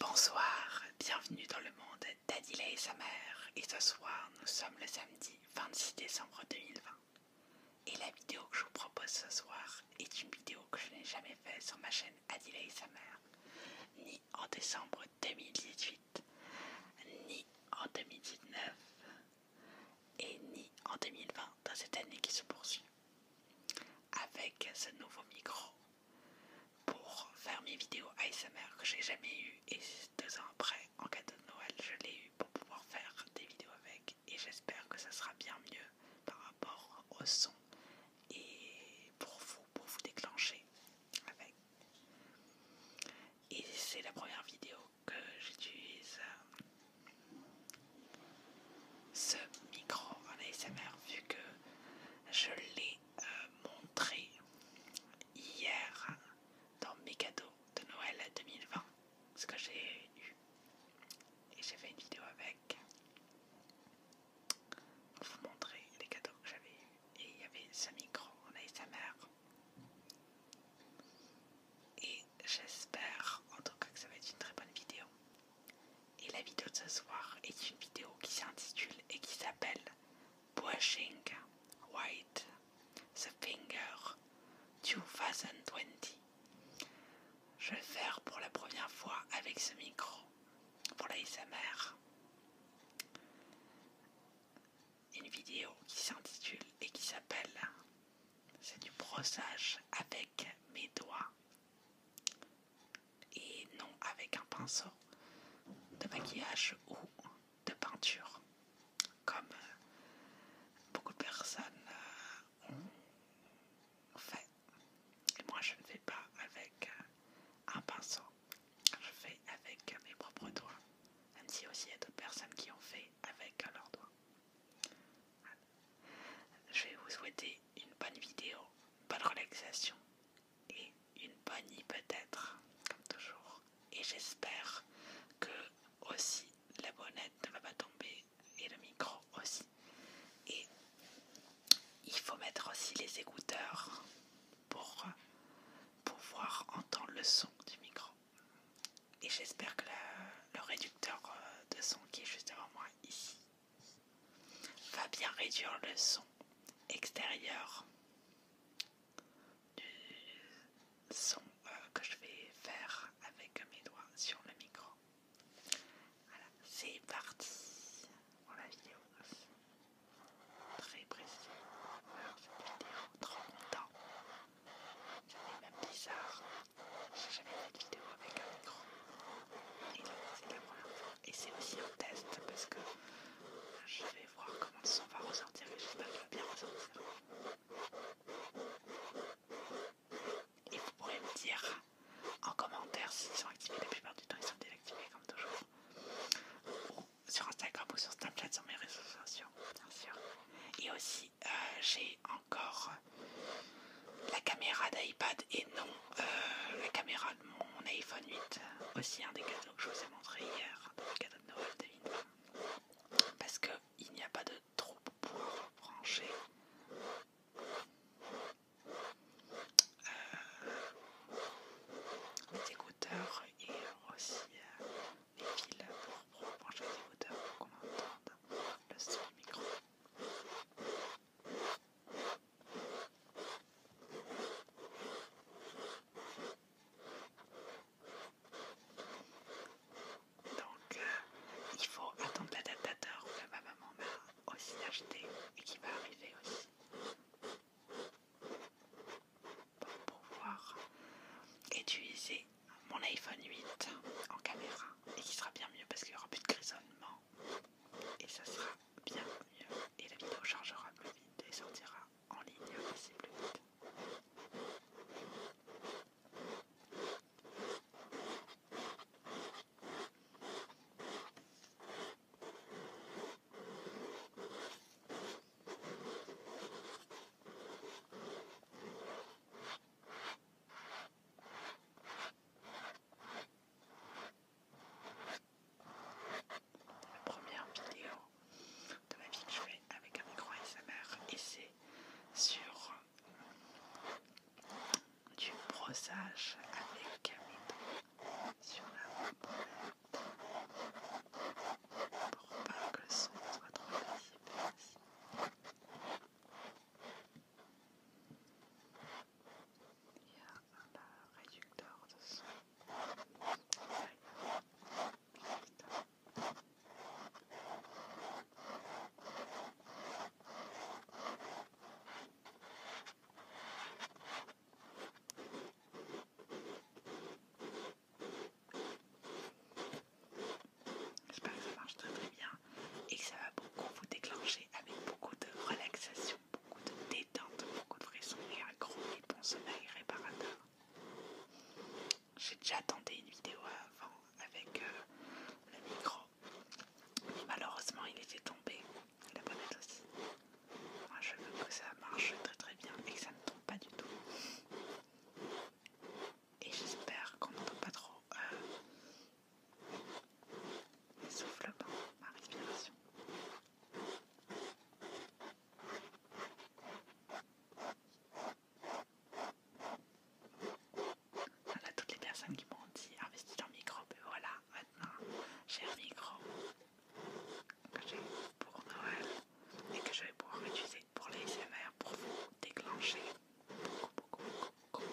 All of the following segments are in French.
Bonsoir, bienvenue dans le monde d'Adila et sa mère et ce soir nous sommes le samedi 26 décembre 2020 et la vidéo que je vous propose ce soir est une vidéo que je n'ai jamais faite sur ma chaîne Adila et sa mère ni en décembre 2018 ni en 2019 et ni en 2020 dans cette année qui se poursuit. Avec ce nouveau micro, pour faire mes vidéos ASMR que j'ai jamais eu et deux ans après en cadeau de Noël je l'ai eu pour pouvoir faire des vidéos avec et j'espère que ça sera bien mieux par rapport au son et pour vous pour vous déclencher avec et c'est la première vidéo que j'utilise ce micro en ASMR vu que je l'ai euh, montré hier dans mes cadeaux de Noël 2020, ce que j'ai eu. Et j'ai fait une vidéo avec pour vous montrer les cadeaux que j'avais Et il y avait ce micro en ASMR. Et j'espère en tout cas que ça va être une très bonne vidéo. Et la vidéo de ce soir est une vidéo qui s'intitule et qui s'appelle Brushing White the Finger 2020. Je vais le faire pour la première fois avec ce micro pour la Une vidéo qui s'intitule et qui s'appelle C'est du brossage avec mes doigts et non avec un pinceau de maquillage ou de peinture, comme euh, beaucoup de personnes euh, ont fait. Et moi, je ne fais pas avec euh, un pinceau, je fais avec mes propres doigts, même si aussi il y a d'autres personnes qui ont fait avec leurs doigts. Je vais vous souhaiter une bonne vidéo, bonne relaxation et une bonne nuit peut-être, comme toujours. Et j'espère que aussi la bonnette ne va pas tomber et le micro aussi. Et il faut mettre aussi les écouteurs pour pouvoir entendre le son du micro. Et j'espère que le réducteur euh, de son qui est juste devant moi ici va bien réduire le son extérieur du son euh, que je vais faire avec mes doigts sur le micro. Voilà, c'est parti pour la vidéo. Très précis. Alors, cette vidéo, trop longtemps. Ça même bizarre. J'ai jamais fait de vidéo avec un micro et c'est aussi un test parce que je vais voir comment ça va ressortir et j'espère ça va bien ressortir et vous pourrez me dire en commentaire s'ils sont activés la plupart du temps ils sont désactivés comme toujours sur Instagram ou sur Snapchat sur mes réseaux sociaux bien sûr et aussi euh, j'ai encore la caméra d'iPad et non euh, la caméra de mon iPhone 8. Euh, aussi un des cadeaux que je vous ai montré hier, des cadeaux de Noël David. Parce qu'il n'y a pas de trou pour brancher. Euh, les écouteurs et aussi les fils pour brancher les écouteurs pour qu'on entende le son micro. Donc, euh, il faut attendre l'adaptateur que ma maman m'a aussi acheté et qui va arriver aussi pour pouvoir utiliser mon iPhone 8 en caméra et qui sera bien mieux parce qu'il n'y aura plus de grisonnement et ça sera bien mieux et la vidéo chargera plus vite et sortira en ligne aussi plus vite la première vidéo de ma vie que je fais avec un micro smr et c'est sur du brossage avec Camille sur la palette pour pas que le son soit trop il y a un réducteur de J'espère que ça marche très très bien et ça va beaucoup vous déclencher avec beaucoup de relaxation, beaucoup de détente, beaucoup de frisson et un gros et bon sommeil réparateur. J'ai déjà tenté une vidéo avant avec euh, le micro, mais malheureusement il était tombé, la bonnette aussi. Moi je veux que ça marche très très bien et que ça ne tombe pas du tout. Et j'espère qu'on peut pas trop euh, souffle pas ma respiration. Voilà toutes les personnes qui m'ont dit investis dans micro, mais voilà, maintenant j'ai un micro que j'ai pour Noël et que je vais pouvoir utiliser pour les SMR pour vous déclencher beaucoup, beaucoup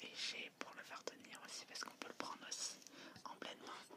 Et j'ai pour le faire tenir aussi parce qu'on peut le prendre aussi en pleine main.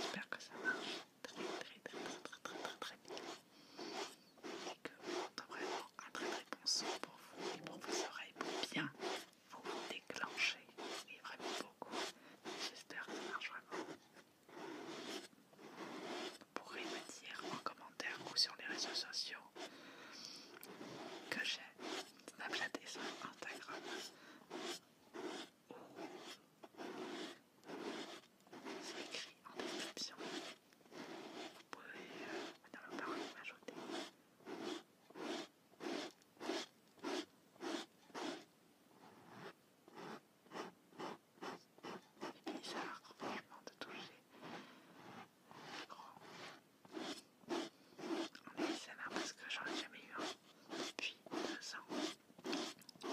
J'espère que ça marche très très très très très très très bien et que vous a vraiment un très très bon son pour vous et pour vos oreilles pour bien vous déclencher et vraiment beaucoup. J'espère que ça marche vraiment vous pourrez me dire en commentaire ou sur les réseaux sociaux que j'ai Snapchat et sur Instagram ou c'est écrit en description. Vous pouvez euh, dans le et m'ajouter. Et puis ça a l'air franchement de toucher les grands. On a mis ça là parce que j'en ai jamais eu depuis deux ans. Et.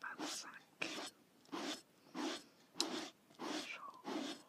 25. J'en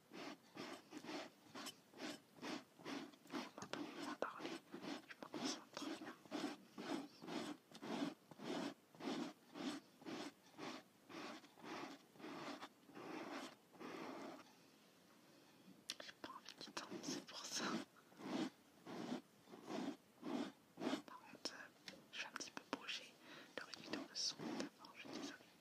On pas parler, je J'ai pas envie de c'est pour ça. Par contre, je suis un petit peu dans le son d'abord, je suis désolée.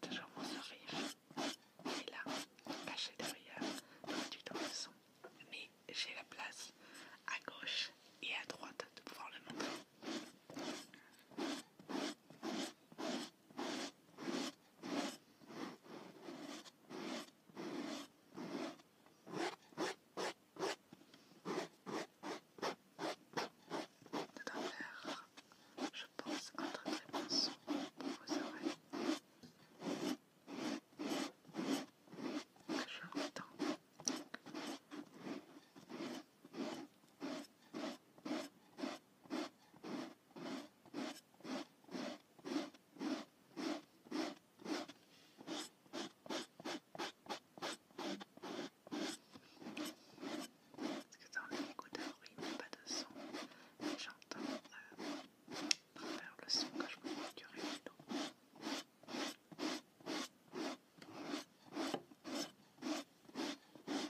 toujours mon sourire est là, caché derrière le du son. Mais j'ai la place à gauche et à droite de pouvoir le montrer. C'est je pense, un très bon pour vos oreilles. je l'entends. C'est un il n'y a pas de son, j'entends euh, le son que je me procurer plutôt.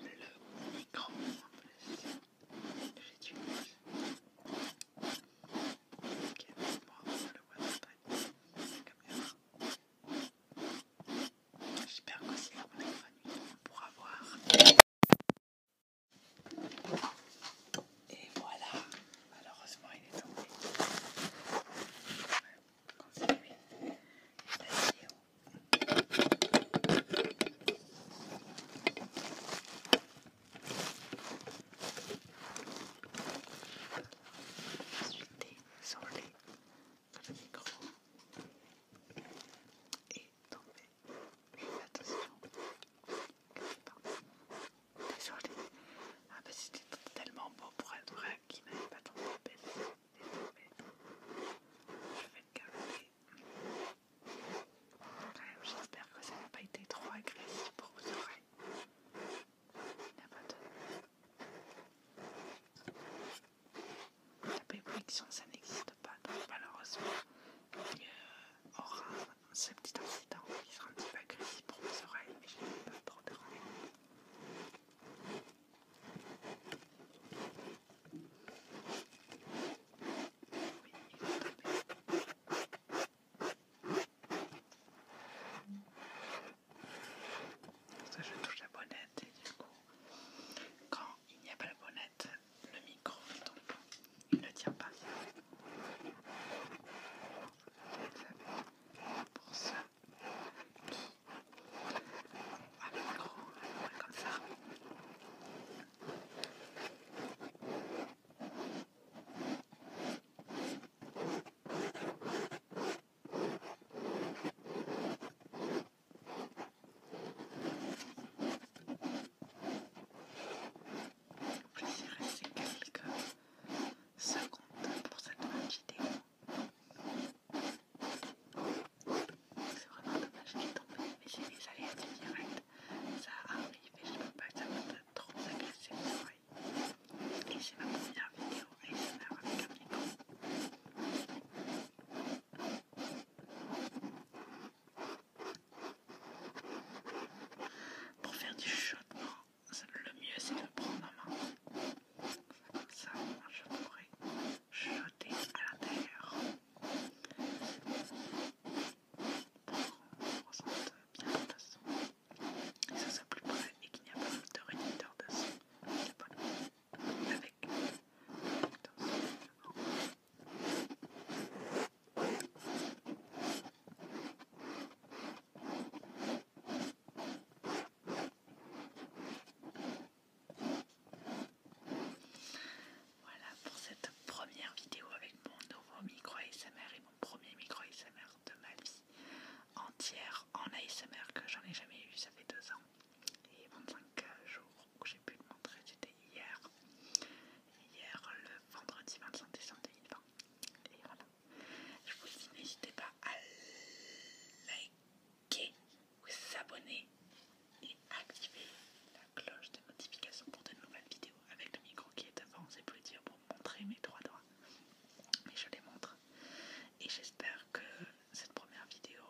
le micro en plus que j'utilise. Ok, moi, on le voit c'est la caméra. J'espère qu'aussi la bonne pourra voir. Et voilà, malheureusement il est tombé. Quand c'est lui, la vidéo Ensuite, J'étais sur le micro et tomber. Attention, pas désolé. Ah bah c'était tellement beau pour être vrai qu'il n'avait pas tombé. Je vais le garder. J'espère que ça n'a pas été trop agressif pour vos oreilles. La perfection, ça n'existe pas, donc malheureusement, il y euh, aura ce petit incident qui sera un petit peu agressif pour vos oreilles, mais je ne vais pas trop déranger. Oui, Ça, je touche la bonnette et du coup, quand il n'y a pas la bonnette, le micro tombe. Il ne tient pas. Vous savez, pour ça à comme ça. plus, quelques secondes pour cette petite c'est vraiment dommage qu'il tombe, mais j'ai des aléas direct, Ça arrive et je ne peux pas que ça me trop agresser de oreilles. Et j'ai ma première vidéo ASMR avec un micro. Pour faire du chaudement, le mieux c'est de prendre ma main. Comme ça, chaud pourrais jeter à l'intérieur terre pour qu'on ressente bien le son. Et ça soit plus près et qu'il n'y a pas de réducteur de son. C'est Avec le réducteur de son. Voilà. Voilà pour cette première vidéo avec mon nouveau micro ASMR et mon premier micro ASMR de ma vie entière en ASMR que j'en ai jamais eu, ça fait deux ans et 25 jours que j'ai pu le montrer, c'était hier, hier le vendredi 25 décembre 2020 et voilà. Je vous dis n'hésitez pas à liker OK, vous abonnez et activer la cloche de notification pour de nouvelles vidéos. Avec le micro qui est devant, c'est plus dire pour montrer mes trois doigts, mais je les montre. Et j'espère que cette première vidéo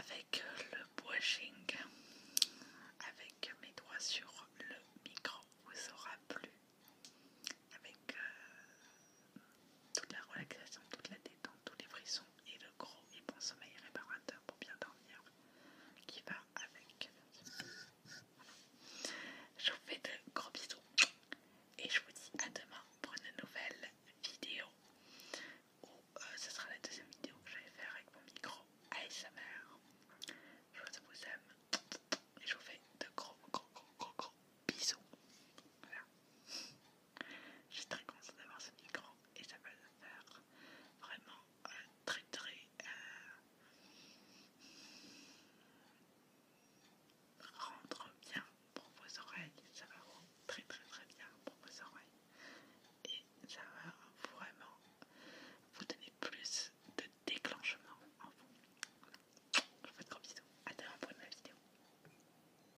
avec le washing avec mes doigts sur le micro, vous aura plu. Avec euh, toute la relaxation, toute la détente, tous les frissons et le gros et bon sommeil réparateur pour bien dormir qui va avec. Je vous fais de gros bisous et je vous dis à demain pour une nouvelle vidéo où euh, ce sera la deuxième vidéo que je vais faire avec mon micro ASMR. Je vous aime et je vous fais de gros gros gros gros, gros bisous. Voilà. Je suis très contente d'avoir ce micro et ça va faire vraiment euh, très très euh, rendre bien pour vos oreilles. Ça va très très très bien pour vos oreilles et ça va vraiment vous donner plus de déclenchement en vous. Je vous fais de gros bisous. À demain pour une nouvelle vidéo.